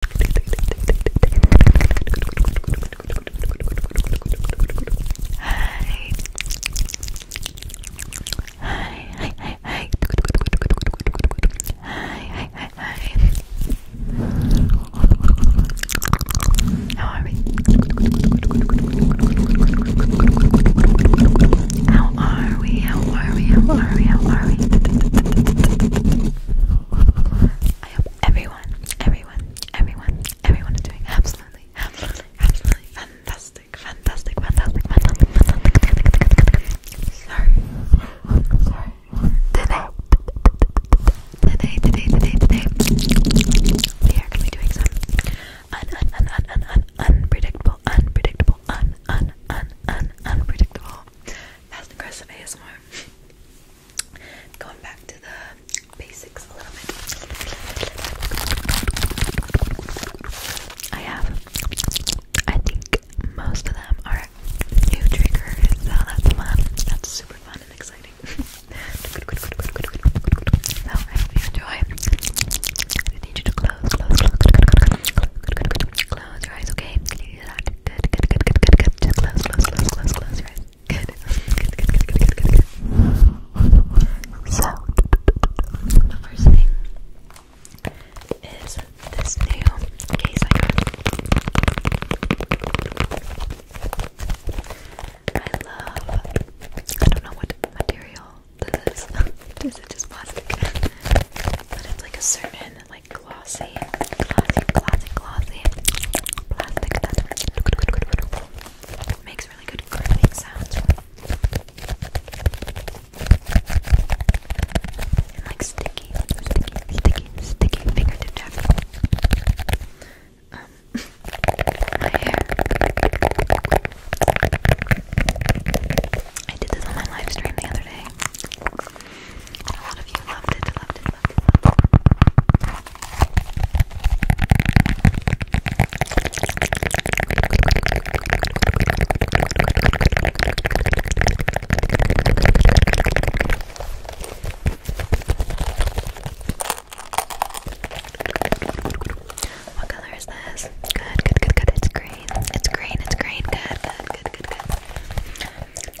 Hi. Hi, hi, hi, hi. Hi, hi, How are we? How are we? How are we? How are we? I hope everyone, everyone, everyone, everyone is doing absolutely, absolutely, absolutely fantastic, fantastic, fantastic, fantastic, fantastic. Sorry, sorry. Today, today, today, today, today, we are gonna be doing some un, un, un, un, un, un, unpredictable, unpredictable, un, un, un, un, unpredictable passive aggressive ASMR. Going back to the basics a little bit. I have, I think most of them are new triggers, so that's fun. That's super fun and exciting. I hope you enjoy. I need you to close, close, close, close, your eyes, okay? that. Good, good, good, good, good, good. Just close, close, close, close, close, right? Good. Good, good, good, good, good, good, good. So, the first thing is this new case I got. I love, I don't know what material this is. This is just plastic. But it's like a certain like glossy, glossy, glossy, glossy plastic that makes really good sounds like sticky, sticky, sticky, sticky fingertip tapping. Um, my hair. I did this on my live the other day. What color is this? Good, good, good, good. It's green. It's green, it's green. Good, good, good, good, good.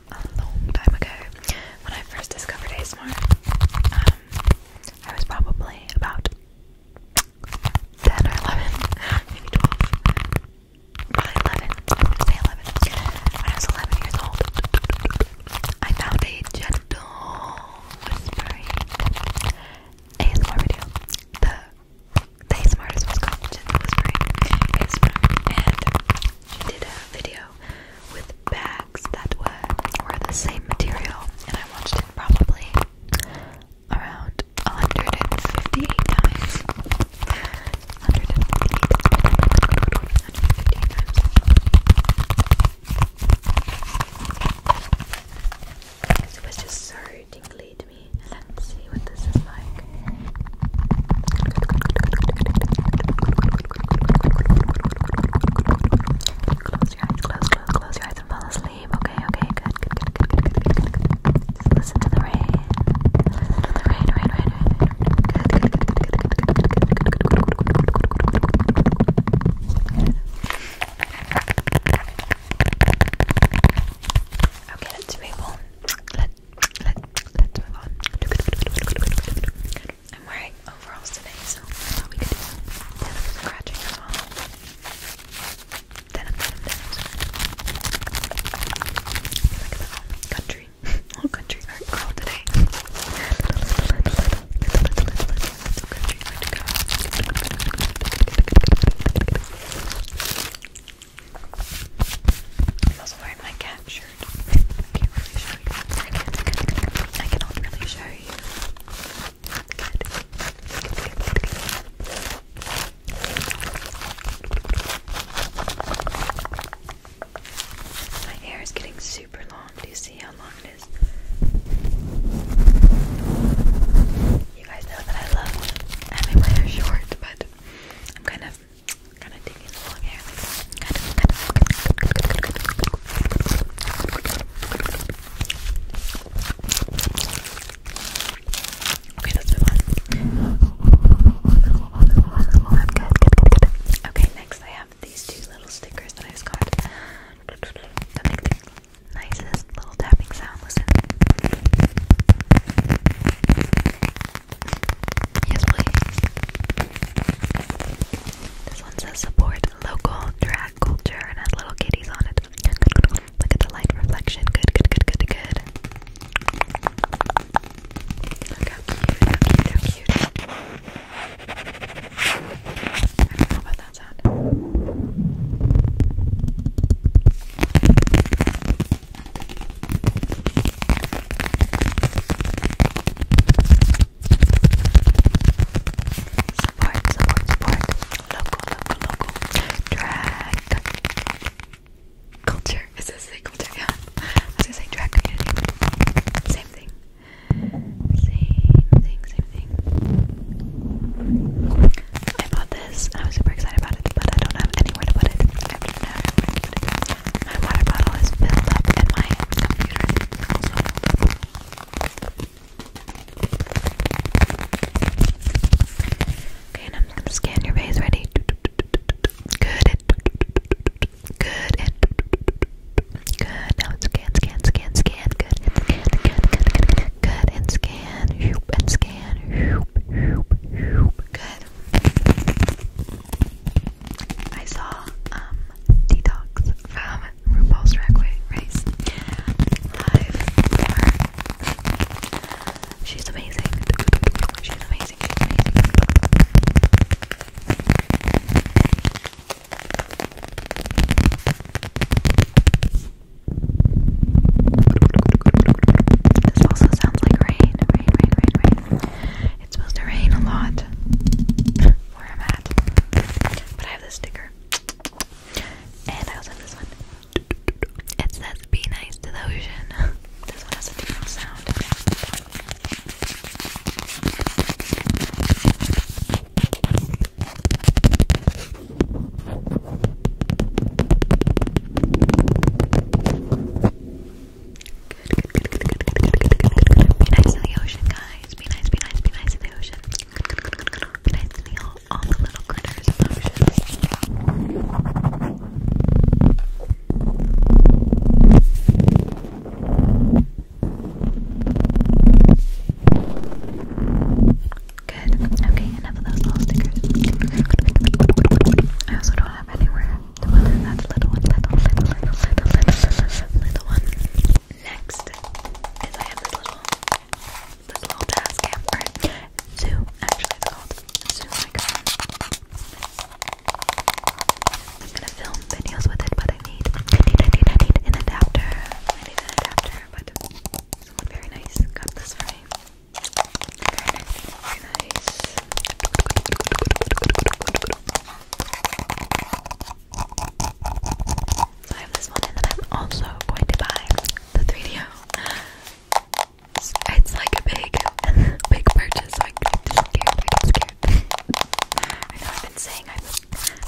a long time ago when I first discovered ASMR. Um, I was probably about 10 or 11, maybe 12. Probably 11. I'm say 11. When I was 11 years old, I found a gentle whispering ASMR video. The, ASMR was called Gentle Whispering ASMR, and she did a video with bags that were, the same material, and I watched it probably around 158 times. 158, times. It was just so tingly to me. Let's see what this is like. Close your eyes, close, close, close your eyes and fall asleep. Okay, okay, good, good, good, good, good, good, good, good. Just listen to the rain. Listen to the rain, rain, rain, rain. Good, good, good, good, good, good, good, good, good, good, good, good, good, good, good, good, good, good. Okay, let's be able. Let's let, us move on. I'm wearing overalls today, so thought we could do some scratching as well. Denim, denim, denim country, little country art girl today. I'm also wearing my cat shirt. I can't really show you. cannot really show you. My hair is getting super long. Do you see how long it is? You guys know that I love having my hair short, but I'm kind of Kind of digging the long hair Okay, let's I'm good, good, good, good. Okay, next I have these two little stickers that I just got the nicest little tapping sound. Listen. Yes, please. This one says support local drag culture and has little kitties on it. Look at the light reflection. Good, good, good, good, good. how cute, how cute, how cute. I don't know about that sound. Support, support, support. Local, local, local. Drag culture. Is this a culture? Yeah. I was drag community. Same thing. Same thing, same thing. I bought this I was super excited about it, but I don't have anywhere to put it. My water bottle is filled up and my computer also. Okay, and I'm gonna scan your vase. Ready? Good. Good. Good. Now scan, scan, scan, scan. Good. Scan, scan, scan. scan. Good. I saw um detox from RuPaul's Drag Race live. She's amazing. She's amazing. This also sounds like rain, rain, rain, rain, rain. It's supposed to rain a lot where I'm at. But I have this sticker. And I also have this one. It says be nice to the ocean. this one has a different sound. Be nice in the ocean, guys. Be nice, be nice, be nice in the ocean. Be nice to all, the little critters in the ocean. Good. Okay, enough of those little stickers. I also don't have anywhere the one in that little one, little, little, little, little, little, little one. Next is I have this little, this little jazz cam, or zoo, actually it's called zoo microphone. I'm gonna film videos with it, but I need, I need, I need, I need an adapter. I need an adapter, but someone very nice got this for me. I have this one, and I'm also going to buy the 3DO. It's like a big, big purchase. So I just scared. I get scared. I know I've been saying I've I've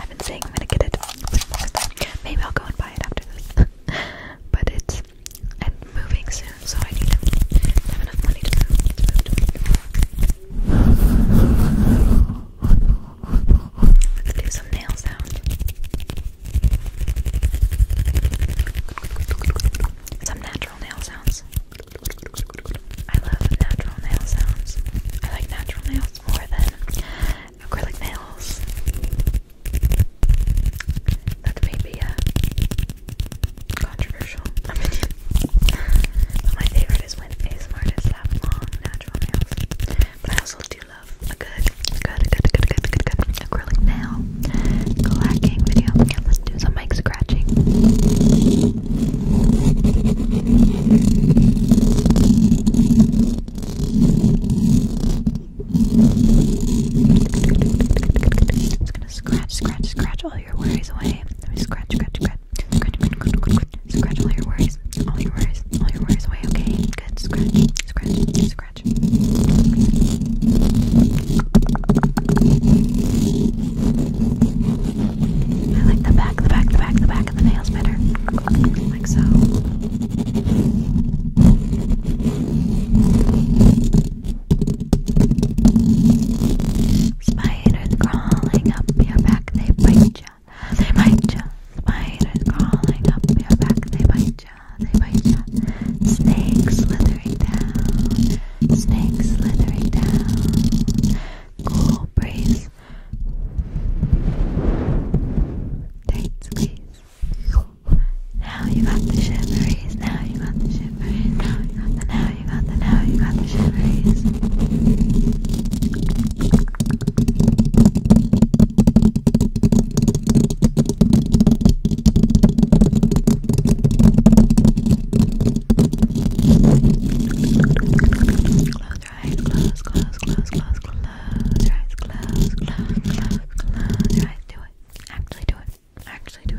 I've been saying I'm gonna get it. Maybe I'll go and buy it after this. but it's because I'm moving soon, so I need to have enough money to move. do some nail sound. Some natural nail sounds. I love natural nail sounds. I like natural nails more than acrylic nails. That may be a uh, controversial opinion. but my favorite is when ASMR artists have long, natural nails. But I also do love a good, good, good, good, good, good, good acrylic nail clacking video. Yeah, let's do some mic scratching. I'm just gonna scratch, scratch, scratch all your worries away. Scratch, scratch, scratch, scratch, scratch, scratch, scratch all your worries, all your worries, all your worries away. Okay, good. Scratch, scratch, scratch. I like the back, the back, the back, the back of the nails better, like so. Spiders crawling up your back, they bite ya. They bite ya. Spiders crawling up your back, they bite ya. They bite ya. Snakes slithering down. Snakes slithering down. Cool breeze. Tight squeeze. Now you got the shiveries. Now you got the shiveries. Now you got the. Now you got the. Now you got the shiveries. Close your eyes. Close. Close. Close. Close. Close your eyes. Close. Close. Close. Close your eyes. Do it. Actually, do it actually do it.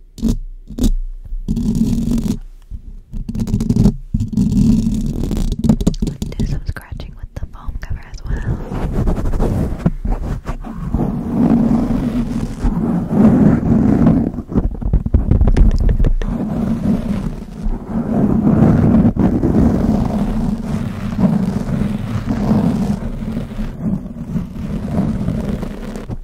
Let's do some scratching with the foam cover as well.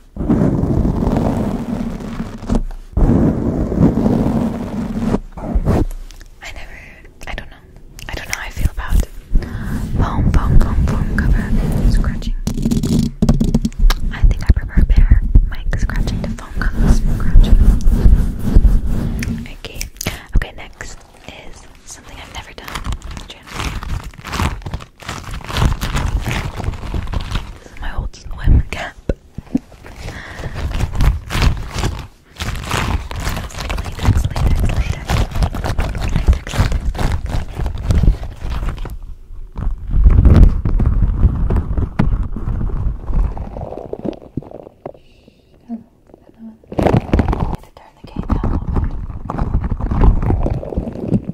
I never, I don't know. I don't know how I feel about foam, foam, foam, foam cover scratching. I think I prefer bare mic scratching to foam cover scratching. Okay, okay, next is something I've never done. This is my old swim cap. Latex, latex, latex. Latex, latex. Hello. Hello. I need to turn the game down a little bit.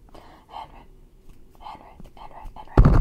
Handwritten, handwritten, handwritten, handwritten.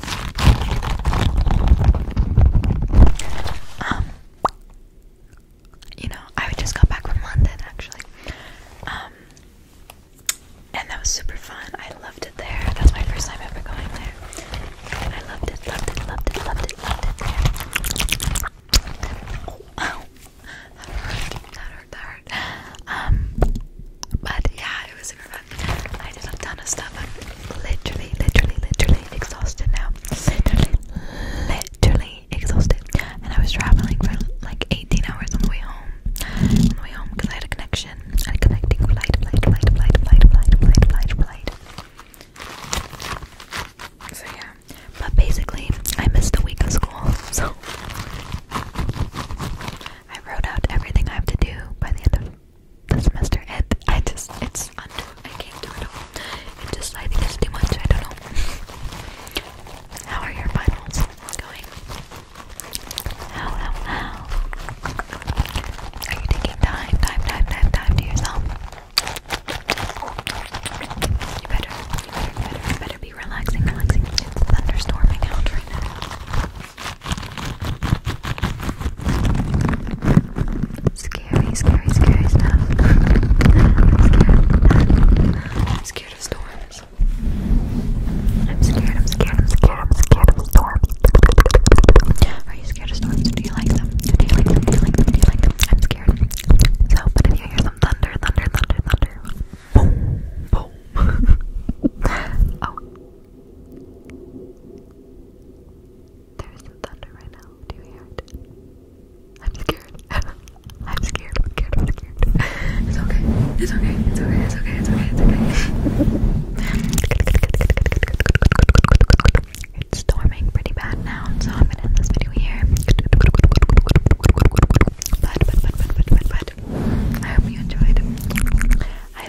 Um, you know, I just got back from London actually. Um, and that was super fun. I loved it there. That's my first time ever going there. I loved it, loved it, loved it, loved it, loved it That hurt, that hurt, Um, but yeah, it was super fun. I did a ton of stuff literally, literally, literally exhausted now. Literally, literally exhausted. And I was traveling for like 18 hours on the way home. On the way home because I had a connection. I had a connecting flight, flight, flight, flight, flight, flight, flight, flight, flight. So yeah. But basically, I missed a week of school. So I wrote out everything I have to do by the end of the semester and I just it's under I can't do it all. It just I think it's too much, I don't know. How are your finals going? How how how are you taking time, time, time, time, time to yourself? You better, you better, you better, you better be relaxing, relaxing. It's thunderstorming out right now. Scary, scary, scary stuff. I'm scared. scared of storms. I'm scared, I'm scared, I'm scared, I'm scared of storms. Are you scared of storms? Do you like them? Do you like them? Do you like them? Do you like them? I'm scared. So, but if you hear some thunder, thunder, thunder, thunder, boom, boom. oh. There's some thunder right now. Do you hear it? I'm scared. I'm scared. I'm scared. I'm scared. It's okay. It's okay. It's okay. It's okay. It's okay. It's okay. It's storming pretty bad now, so I'm gonna end this video here. But, but, but, but, but, but, but, I hope you enjoyed. I